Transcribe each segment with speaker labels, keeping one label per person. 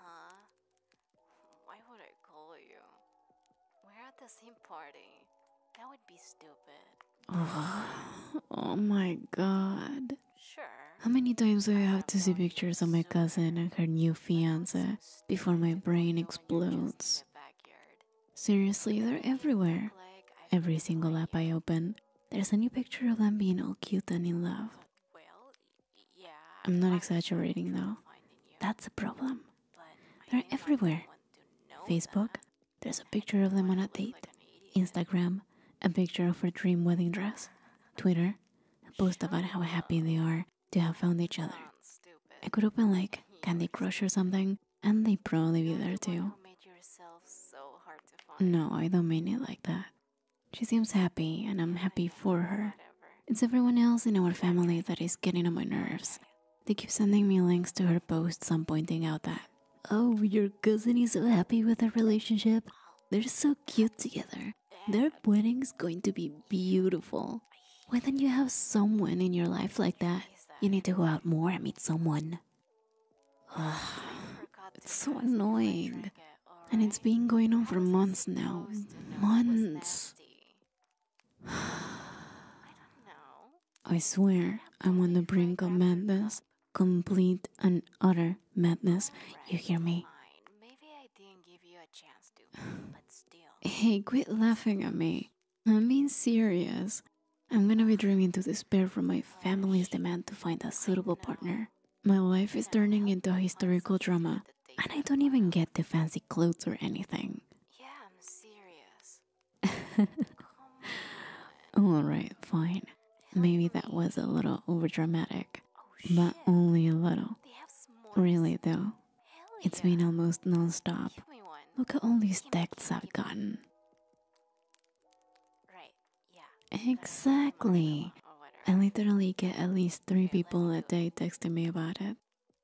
Speaker 1: Huh? Why would I call you? We're at the same party. That would be stupid. Oh, my god. Sure. How many times do I have to see pictures of my cousin and her new fiance before my brain explodes? Seriously, they're everywhere. Every single app I open, there's a new picture of them being all cute and in love. I'm not exaggerating though. That's a problem. They're everywhere. Facebook, there's a picture of them on a date. Instagram, a picture of her dream wedding dress. Twitter, a post about how happy they are to have found each other. I could open like Candy Crush or something, and they'd probably be there too. No, I don't mean it like that. She seems happy, and I'm happy for her. It's everyone else in our family that is getting on my nerves. They keep sending me links to her posts and pointing out that, oh, your cousin is so happy with her relationship. They're so cute together. Their wedding's going to be beautiful. Why don't you have someone in your life like that? You need to go out more and meet someone it's so annoying. And it's been going on for months now. Months. I swear I'm on the brink of madness. Complete and utter madness. You hear me? Hey, quit laughing at me. I'm being serious. I'm gonna be driven to despair from my family's demand to find a suitable partner. My life is turning into a historical drama, and I don't even get the fancy clothes or anything. Yeah, I'm serious. Alright, fine. Maybe that was a little overdramatic, oh, but only a little. Really, though, it's been almost non stop. Look at all these texts I've gotten. Right. Yeah. Exactly. I literally get at least three people a day texting me about it.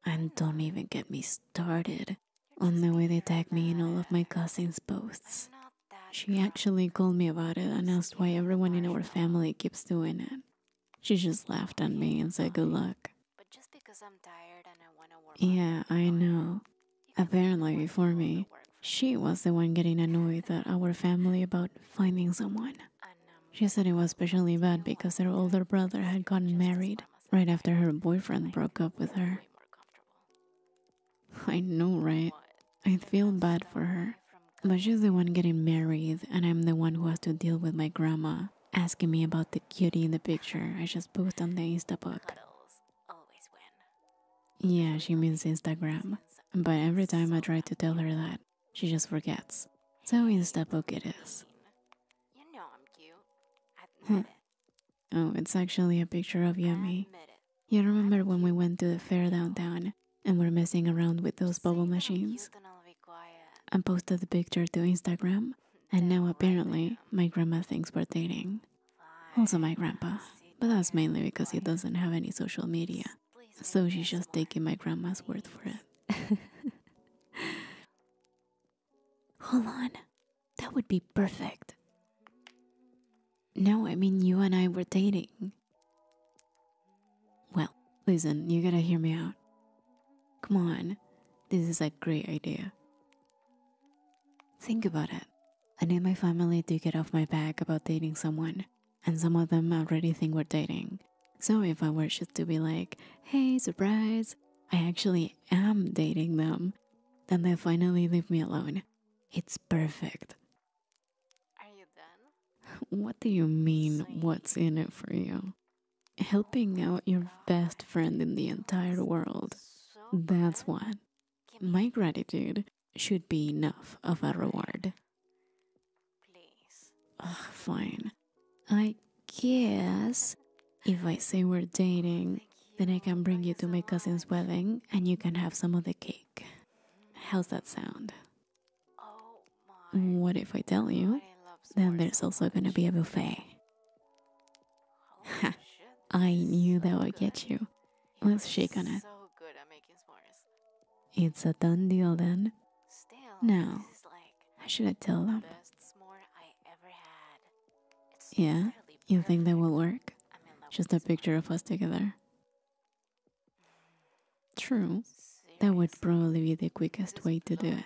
Speaker 1: And don't even get me started on the way they tag me in all of my cousins' posts. She actually called me about it and asked why everyone in our family keeps doing it. She just laughed at me and said good luck. Yeah, I know. Apparently, before me, she was the one getting annoyed at our family about finding someone. She said it was especially bad because her older brother had gotten married right after her boyfriend broke up with her. I know, right? I feel bad for her. But she's the one getting married, and I'm the one who has to deal with my grandma asking me about the cutie in the picture I just put on the Instabook. Yeah, she means Instagram, but every time I try to tell her that, she just forgets. So Instabook it is. Hmm. oh, it's actually a picture of Yummy. You remember when we went to the fair downtown and were messing around with those bubble machines? I posted the picture to Instagram and now apparently my grandma thinks we're dating. Also, my grandpa, but that's mainly because he doesn't have any social media, so she's just taking my grandma's word for it. Hold on, that would be perfect. No, I mean, you and I were dating. Well, listen, you gotta hear me out. Come on, this is a great idea. Think about it. I need my family to get off my back about dating someone, and some of them already think we're dating. So if I were just to be like, hey, surprise, I actually am dating them, then they finally leave me alone. It's perfect. Are you done? What do you mean, what's in it for you? helping out your best friend in the entire world. That's what my gratitude should be enough of a reward. Ugh, fine. I guess if I say we're dating, then I can bring you to my cousin's wedding and you can have some of the cake. How's that sound? What if I tell you? Then there's also gonna be a buffet. Ha! I knew that would get you. Let's shake on it. It's a done deal then. Now, how should I tell them? Yeah, you think that will work? Just a picture of us together. True. That would probably be the quickest way to do it.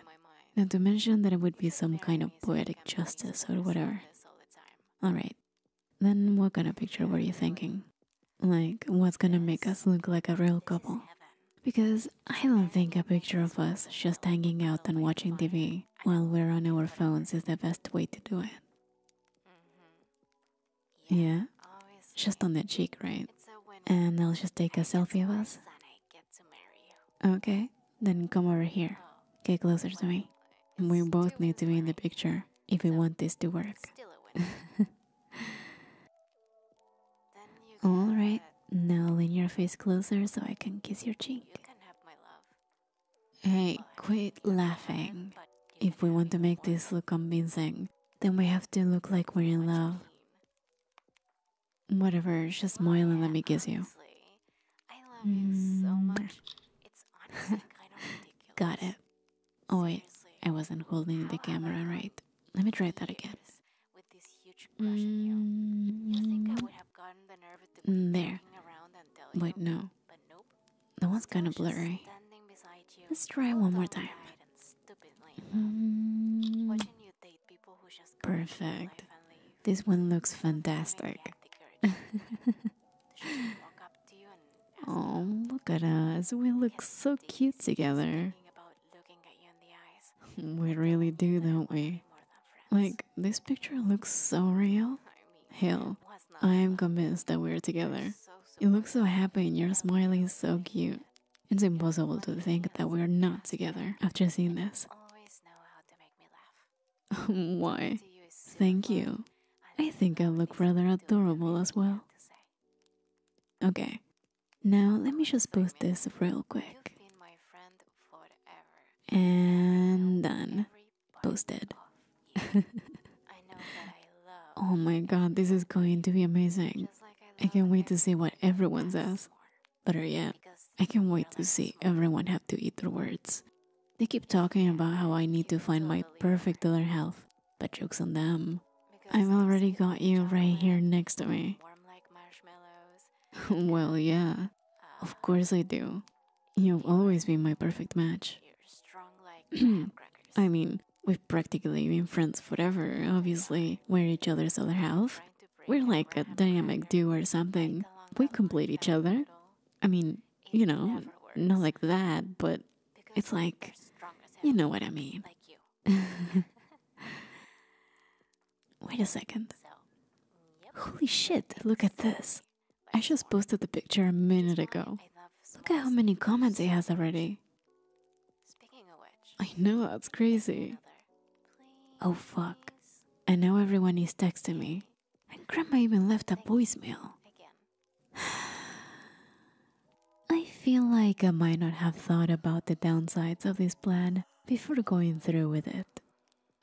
Speaker 1: Not to mention that it would be some kind of poetic justice or whatever. Alright, then what kind of picture were you thinking? Like, what's gonna make us look like a real couple? Because I don't think a picture of us just hanging out and watching TV while we're on our phones is the best way to do it. Mm-hmm. Yeah. Just on that cheek, right? And I'll just take a selfie of us. Okay, then come over here. Oh, get closer to me. We both need to be in the picture if we want this to work. Alright, now lean your face closer so I can kiss your cheek. Hey, quit laughing. If we want to make this look convincing, then we have to look like we're in love. Whatever, just smile and let me kiss you. I love you so mm. much. It's honestly kind Got it. Oh wait, I wasn't holding the camera right. Let me try that again. With this huge crush on you. You think I mm. would have gotten the nerve to mm, there. around Wait, no. That one's kind of blurry. Let's try one more time. Hmm. Perfect. This one looks fantastic. oh, look at us. We look so cute together. We really do, don't we? Like, this picture looks so real. Hell, I am convinced that we are together. You look so happy and your smiling is so cute. It's impossible to think that we are not together after seeing this. Why? Thank you. I think I look rather adorable as well. Okay, now let me just post this real quick. And done posted. oh my god, this is going to be amazing. I can't wait to see what everyone says. Better yet, I can't wait to see everyone have to eat their words. They keep talking about how I need to find my perfect other health, but joke's on them. I've already got you right here next to me. well, yeah, of course I do you have always been my perfect match. I mean, we've practically been friends forever. Obviously, we're each other's other half. We're like a dynamic duo or something. We complete each other. I mean, you know, not like that, but it's like, you know what I mean. Wait a second. Mm, Holy shit, look at this. I just posted the picture a minute ago. Look at how many comments he has already. Speaking of which, I know that's crazy. Oh fuck. I know everyone is texting me. And grandma even left a voicemail. I feel like I might not have thought about the downsides of this plan before going through with it.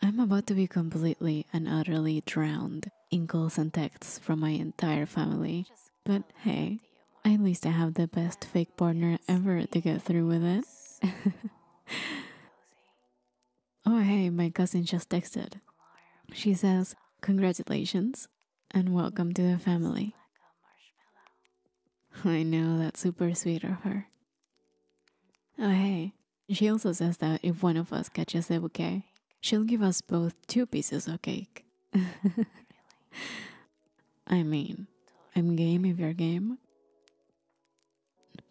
Speaker 1: I'm about to be completely and utterly drowned in calls and texts from my entire family. But hey, at least I have the best fake partner ever to get through with it. oh, hey, my cousin just texted. She says, Congratulations and welcome to the family. I know that's super sweet of her. Oh, hey, she also says that if one of us catches the bouquet, she'll give us both two pieces of cake. I mean, I'm game if you're game.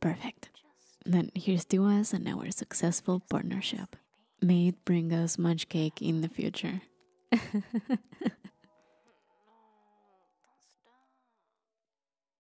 Speaker 1: Perfect. Then here's to us and our successful partnership. May it bring us much cake in the future.